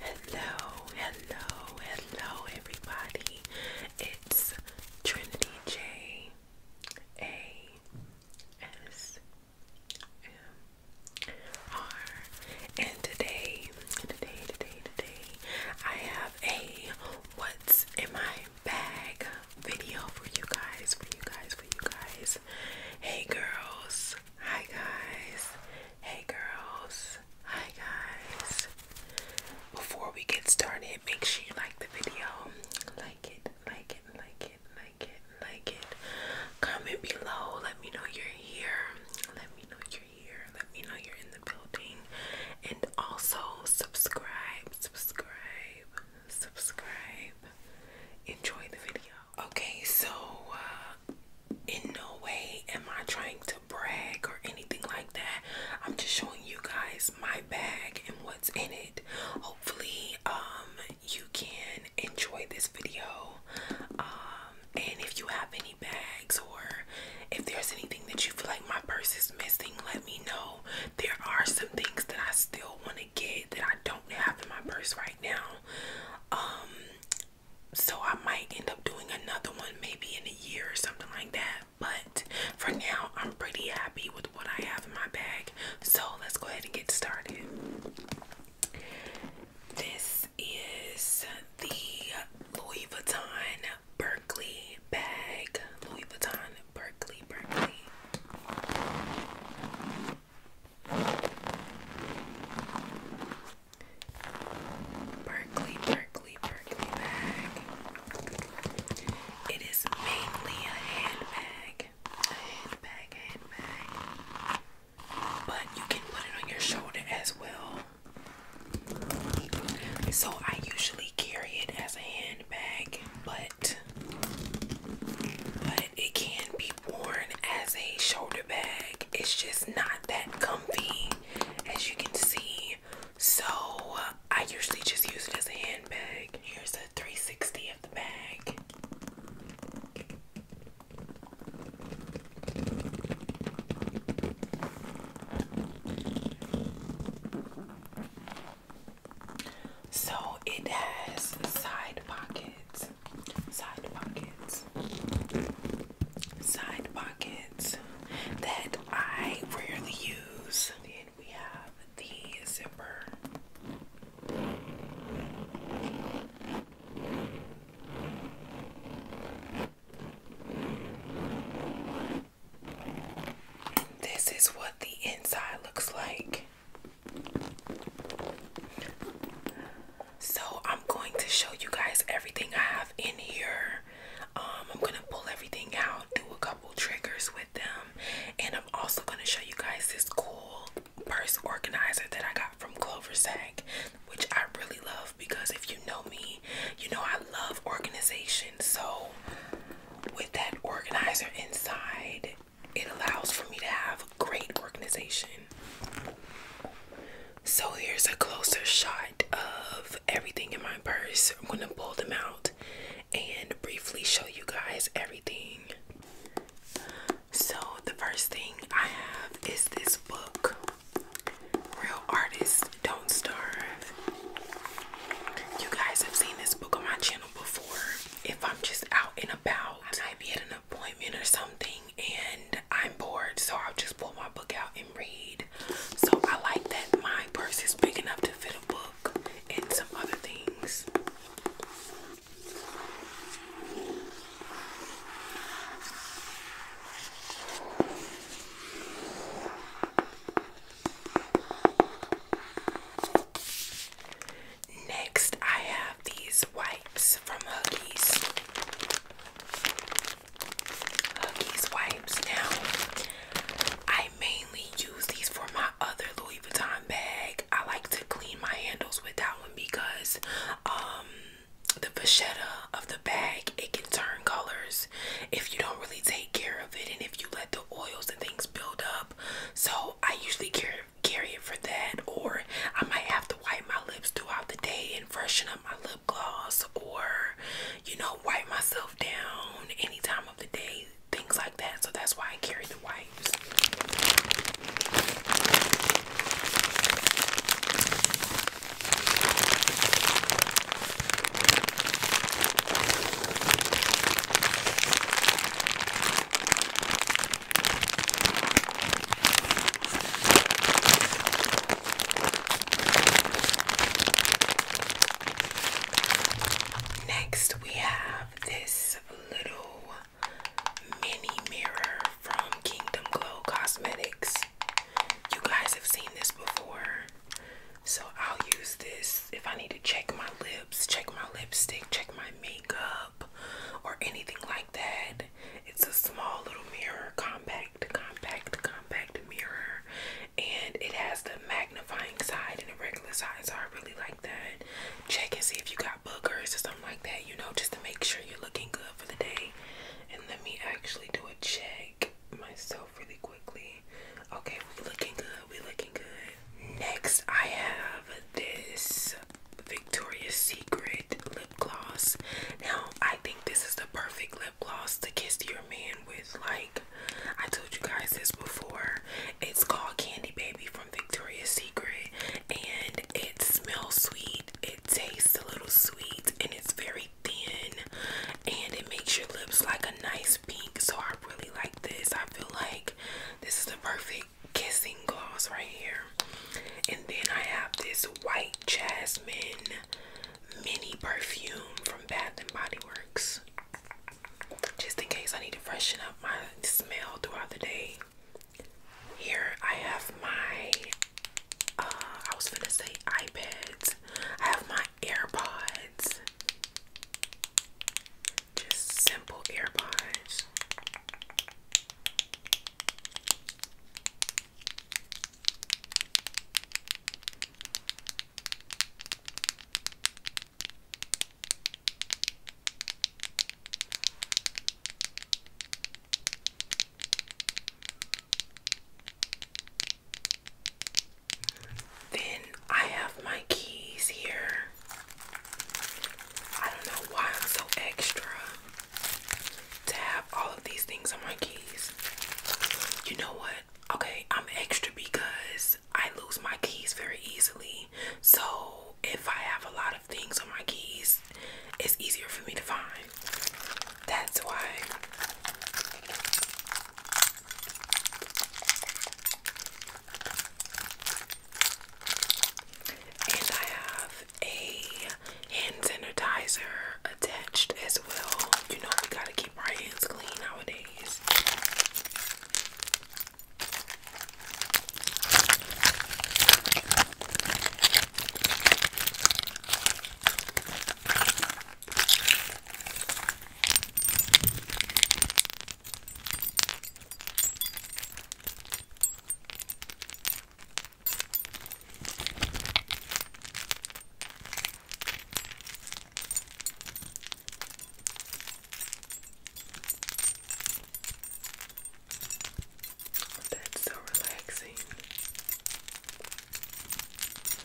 Hello, hello, hello, everybody. It's Trinity J A S M R, and today, today, today, today, I have a what's in my bag video for you guys, for you guys, for you guys. Hey, girls. Hi, guys. Hey girls, hi guys. Before we get started, make sure you like the video. Like it, like it, like it, like it, like it. Comment below, let me know you're here. Let me know you're here. Let me know you're in the building. And also subscribe, subscribe, subscribe. Enjoy the video. Okay, so uh, in no way am I trying to brag or anything like that. I'm just showing you guys my bag and what's in it. Hopefully, um, you can enjoy this video. Um, and if you have any bags or if there's anything that you feel like my purse is missing, let me know. There are some things that I still want to get that I don't have in my purse right now. Um, so I might end up doing another one maybe in a year or something like that. But for now, I'm pretty happy with what I have in my bag. So let's go ahead and get started. This is the Louis Vuitton Berkeley bag. Louis Vuitton Berkeley Berkeley. Berkeley, Berkeley, Berkeley bag. It is mainly a handbag. A handbag, handbag. But you can put it on your shoulder as well. So I usually carry it as a handbag, but but it can be worn as a shoulder bag. It's just not that comfy, as you can see. So I usually just use it as a handbag. Here's a 360 of the bag. So it has side pockets side pockets, side pockets that I rarely use. Then we have the zipper. This is what the inside looks like. So I'm going to show you guys everything I have in here. Um, I'm gonna pull everything out, do a couple triggers with them, and I'm also gonna show you guys this cool purse organizer that I got from Clover Sack, which I really love because if you know me, you know I love organization. So with that organizer inside, it allows for me to have great organization. So here's a closer shot of everything in my purse. I'm gonna pull them out and briefly show you guys everything. So the first thing I have is this book. Real Artists Don't Starve. You guys have seen this book on my channel before. If I'm just out and about, I might be appointment or something and I'm bored, so I'll just pull my book out and read. So I like that my purse is big enough to fit a book and some other things. Next, I have these wipes from Huggies. Huggies wipes. Now, I mainly use these for my other Louis Vuitton bag. I like to clean my handles with that one because um, the vachetta of the bag it can turn colors if you don't really take care of it and if you let the oils and things build up. So I usually carry carry it for that, or I might have to wipe my lips throughout the day freshen up my lip gloss or, you know, wipe myself down any time of the day, things like that. So that's why I carry the wipes. Next, we have this little mini mirror from Kingdom Glow Cosmetics. You guys have seen this before, so I'll use this if I need to check my lips, check my lipstick, check my makeup, or anything like that. It's a small little mirror, compact, compact, compact mirror, and it has the magnifying side and the regular side. So I really like that. Check and see if you got boogers or something like that, you know, just to make sure you're looking good for the day. And let me actually do a check myself really quickly. Okay, we're looking good, we're looking good. Next, I have this Victoria's Secret lip gloss. Now, I think this is the perfect lip gloss to kiss your man with. Like, I told you guys this before. It's called Candy Baby from Victoria's Secret, and it smells sweet, it tastes a little sweet, and it's very thin, and it makes your lips like a nice pink. So, I really like this. I feel like this is the perfect kissing gloss right here. And then I have this white jasmine mini perfume from Bath and Body Works. Just in case I need to freshen up my smell throughout the day. Here I have my uh, I was gonna say iPads. I have my AirPods. Just simple AirPods. Then I have my keys here. I don't know why I'm so extra to have all of these things on my keys. You know what? Okay, I'm extra because I lose my keys very easily. So if I have a lot of things on my keys, it's easier for me to find. That's why. And I have a hand sanitizer attached as well. You know, we gotta keep our hands clean nowadays. That's so relaxing.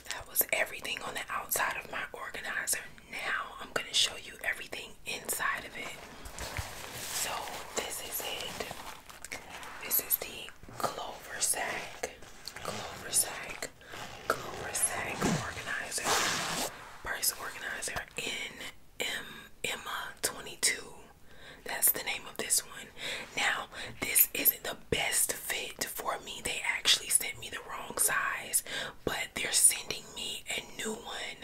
That was everything on the outside of my organizer. Now I'm going to show you everything inside of it. So, this is it. This is the a clover sack, clover sack, clover sack organizer, purse organizer in M Emma 22. That's the name of this one. Now, this isn't the best fit for me. They actually sent me the wrong size, but they're sending me a new one.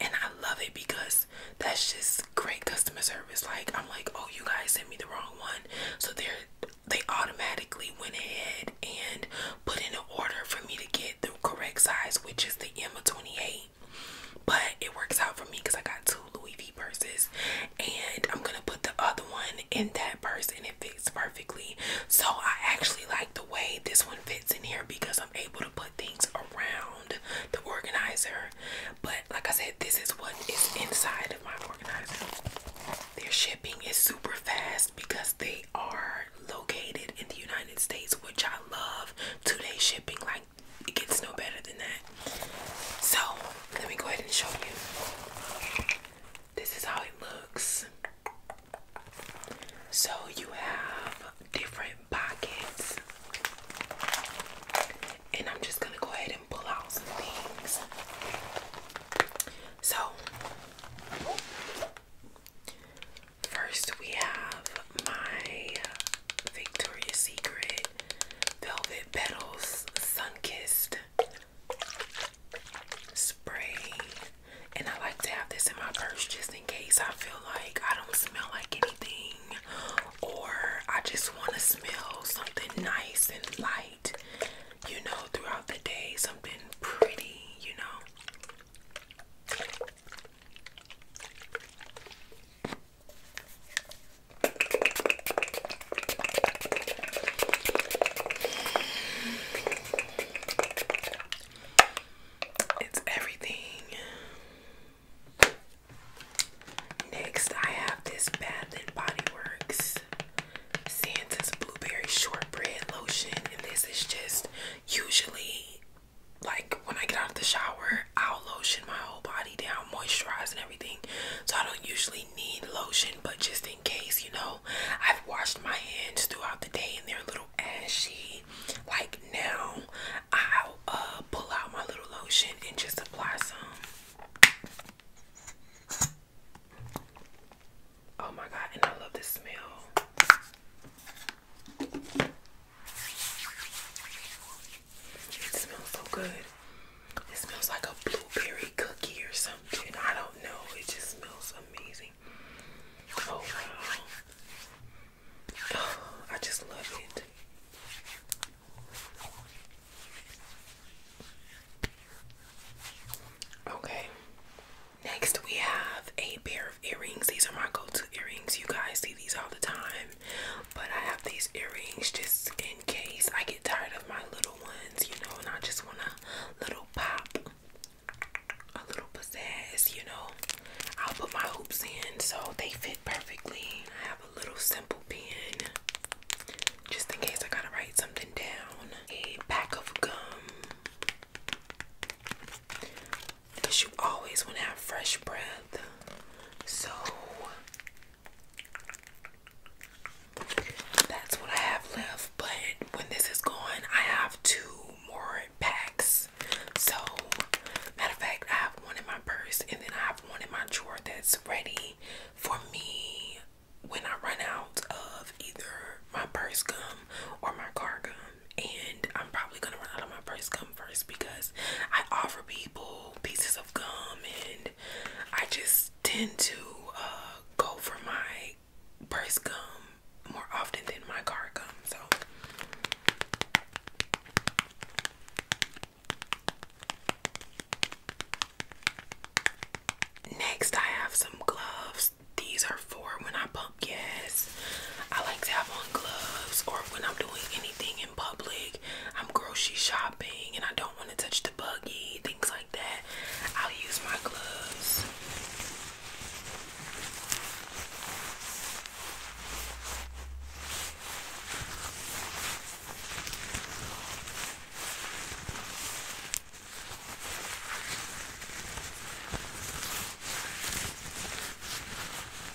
And I love it because that's just great customer service. Like, I'm like, oh, you guys sent me the wrong one. So they they automatically went ahead and put in an order for me to get the correct size, which is the M 28. But it works out for me because I got two Louis V purses, and I'm gonna put the other one in that purse, and it fits perfectly. So I actually like the way this one fits in here because I'm able to put things around the organizer but like I said, this is what is inside of my organizer. Their shipping is super fast because they are located in the United States, which I love. Two shipping, like it gets no better than that. So let me go ahead and show you. This is how it looks. So you have different pockets and I'm just gonna go ahead and pull out some things. So, first we have my Victoria's Secret Velvet Petals Sunkissed Spray. And I like to have this in my purse just in case I feel like I don't smell like anything or I just want to smell something nice and light, you know, throughout the day, something pretty, you know. It's everything. Next, I have this Bath and Body Works Santa's Blueberry Shortbread Lotion, and this is just usually like when I get out of the shower, I'll lotion my whole body down, moisturize, and everything. So I don't usually need lotion, but just in case, you know, I've washed my hands throughout the day and they're a little ashy. Like now, I'll uh, pull out my little lotion and just apply some. Oh my god, and I love the smell. It smells so good. It smells like a blueberry cookie or something. I don't know. It just smells amazing. Oh, I just love it. Okay. Next, we have a pair of earrings. These are my go-to earrings. You guys see these all the time, but I have these earrings just in case I get tired of my little ones, you know, and I just want a little pop, a little pizzazz, you know. I'll put my hoops in, so they fit perfectly a little simple pen just in case I gotta write something down. A pack of gum. you always want to have fresh breath. So that's what I have left. But when this is gone, I have two more packs. So, matter of fact, I have one in my purse and then I have one in my drawer that's ready for me when I run out of either my purse gum or my car gum, and I'm probably gonna run out of my purse gum first because I offer people pieces of gum and I just tend to uh, go for my purse gum more often than my car gum. So Next, I have some gloves. These are for when I pump gas. I like to have on gloves or when I'm doing anything in public. I'm grocery shopping and I don't want to touch the buggy, things like that. I'll use my gloves.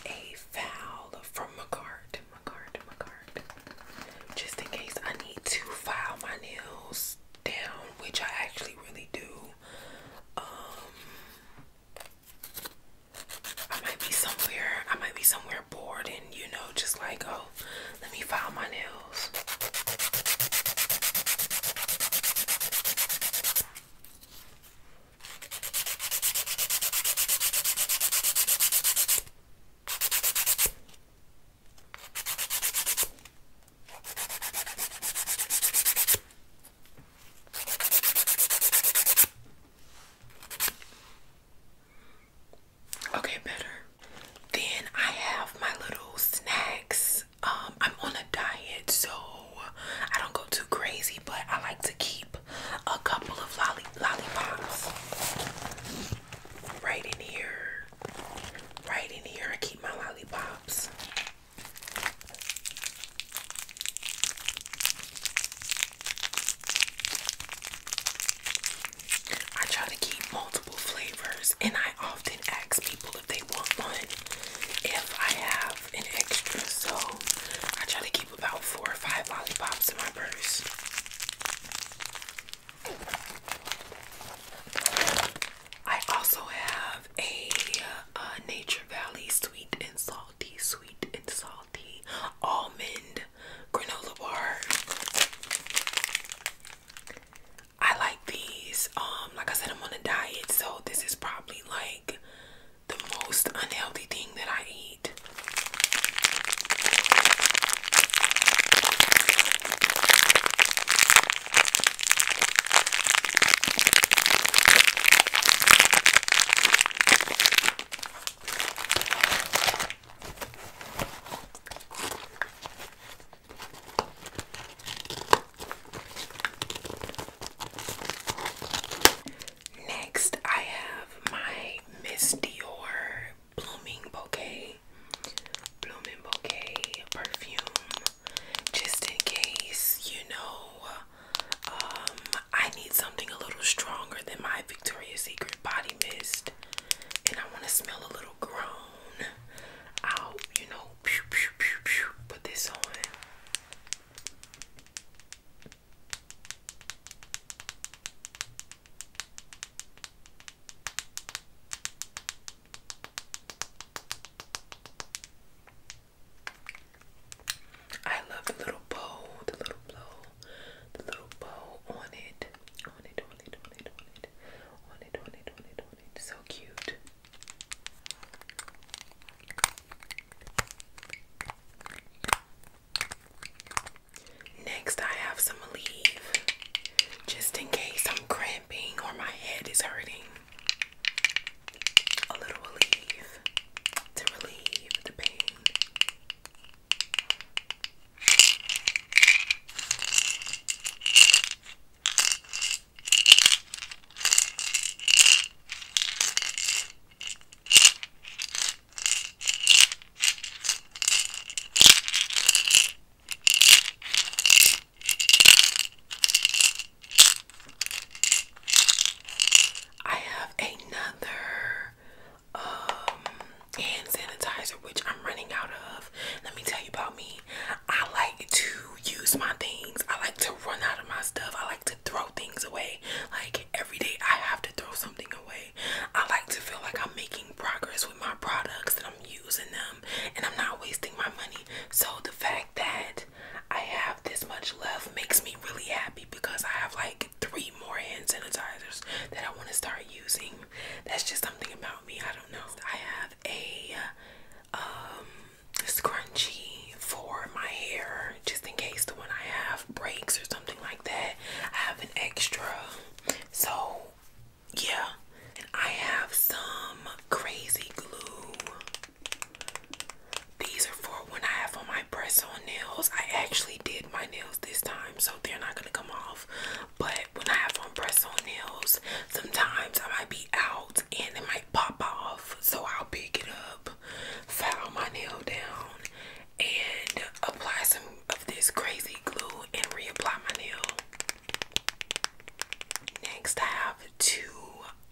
A file from Macart, Macart, Macart. Just in case I need to file my nails down, which I actually really do. Um, I might be somewhere, I might be somewhere bored and you know, just like, oh, let me file my nails. Okay, better. Then I have my little snacks. Um, I'm on a diet, so I don't go too crazy, but I like to keep a couple of lolly lollipops right in here. Right in here, I keep my lollipops. I try to keep multiple flavors, and I often ask people if they want one if I have an extra. So I try to keep about four or five lollipops in my purse. I also have a, a uh, Nature Valley sweet and salty, sweet and salty almond granola bar. I like these. Um, like I said, I'm on a diet, so this is probably like the most unhealthy thing that I eat. Next, I have my Miss Dior Blooming Bouquet, perfume, just in case, you know, um, I need something a little stronger than my Victoria's Secret body mist and I want to smell a little grown. i you know, pew, pew, pew, pew, put this on. I love the little bow, the little blow, the little bow on it, on it, so cute. Next, I have some leave just in case I'm cramping or my head is hurting. A little relief to relieve the pain. I have another um, hand sanitizer, which I'm running out of. Let me tell you about me. I like to use my things. I like to run out of my stuff. I like to throw things away. Like every day, I have to throw something away. I like to feel like I'm making progress with my products that I'm using them, and I'm not wasting my money. So the fact that I have this much left makes me really happy because I have like three more hand sanitizers that I want to start using. That's just something about me. I don't know. I have a um scrunchie for my hair just in case the one I have breaks or something like that. I have an extra. So yeah. I have some crazy glue. These are for when I have on my press on nails. I actually did my nails this time, so they're not gonna come off. But when I have on press on nails, sometimes I might be out and it might pop off. So I'll pick it up, file my nail down, and apply some of this crazy glue and reapply my nail. Next, I have two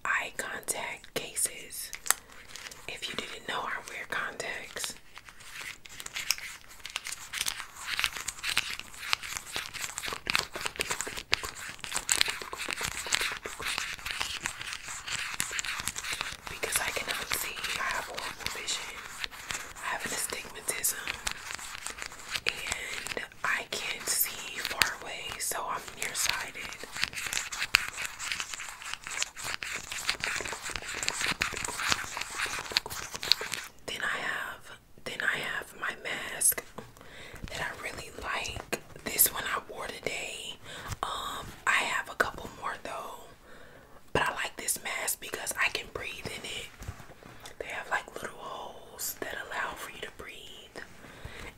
eye contact cases. If you didn't know, I wear contacts. Because I cannot see, I have horrible vision. I have an astigmatism, and I can't see far away, so I'm nearsighted. Then I have then I have my mask that I really like. This one I wore today. Um, I have a couple more though. But I like this mask because I can breathe in it. They have like little holes that allow for you to breathe.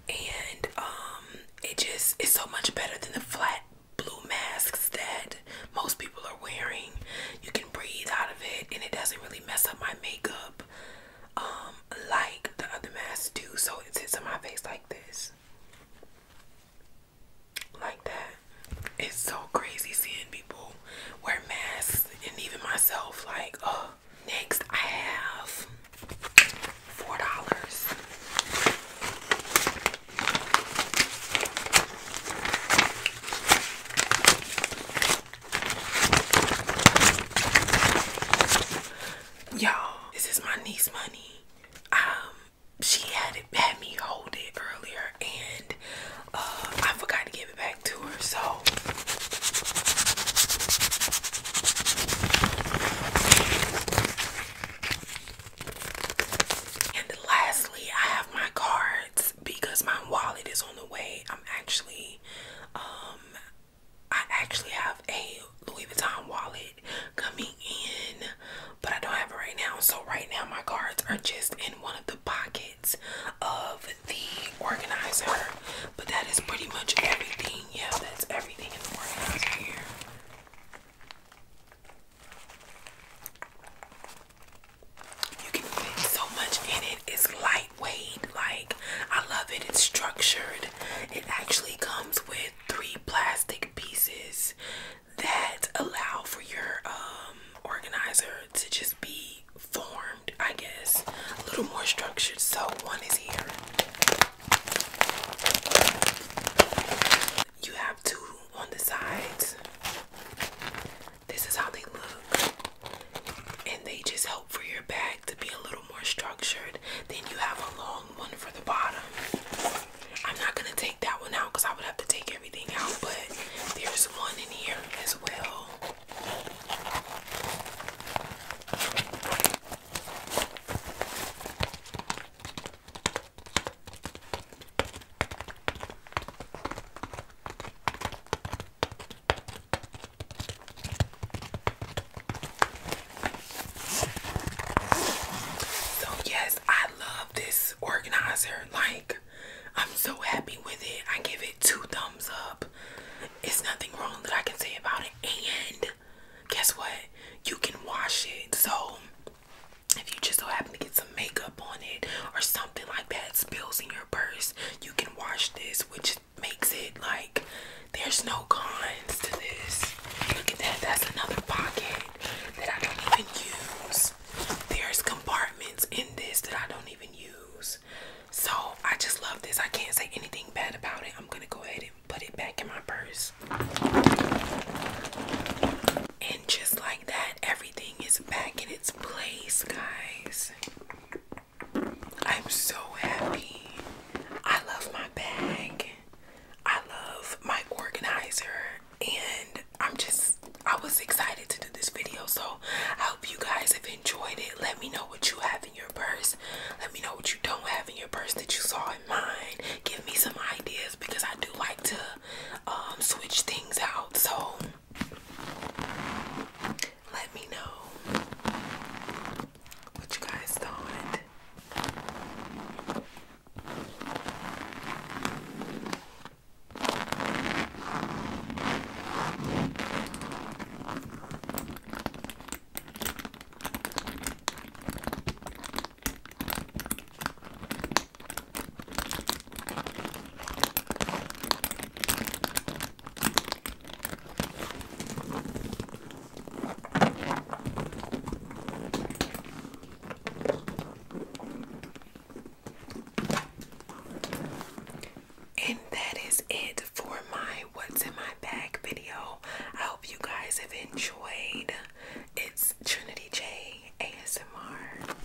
And um, it just is so much better than the flat blue masks that most people are wearing. You can breathe out of it and it doesn't really mess up my makeup um, like the other masks do. So it sits on my face like this. Like that. It's so crazy seeing people wear masks and even myself like, oh. Next I have $4. Yo, this is my niece money. Um, she had it had me hold it earlier and uh, I forgot to give it back to her, so and lastly, I have my cards because my wallet is on the way. I'm actually, um, I actually have a Louis Vuitton wallet coming in, but I don't have it right now. So right now my cards are just in one of the pockets of the organizer. But that is pretty much everything. Yeah, that's everything in the organizer here. You can fit so much in it. It's lightweight. Like I love it. It's structured. It actually comes with three plastic pieces that allow for your um, organizer to just be formed, I guess. A little more structured. So one is here. You have two on the sides. This is how they look. And they just help for your bag to be a little more structured. Then you have a long one for the bottom. I'm not gonna take that one out because I would have to take everything out, but there's one in here as well. So yes, I love this organizer. Like I'm so happy with it. I give it two thumbs up. It's nothing wrong that I can say about it. And guess what? You can wash it. So if you just so happen to get some makeup on it or something something like that spills in your purse, you can wash this, which makes it like there's no cons to this. Look at that, that's another pocket that I don't even use. There's compartments in this that I don't even use. So I just love this. I can't say anything bad about it. I'm gonna go ahead and put it back in my purse. And just like that, everything is back in its place, guys. I'm so happy. I love my bag. I love my organizer. And I'm just, I was excited to do this video. So I hope you guys have enjoyed it. Let me know what you have in your purse. Let me know what you don't have in your purse that you saw in mine. Give me some ideas because I do like to um, switch things out. So let me know what you guys thought. And that is it for my what's in my bag video. I hope you guys have enjoyed. It's Trinity J ASMR.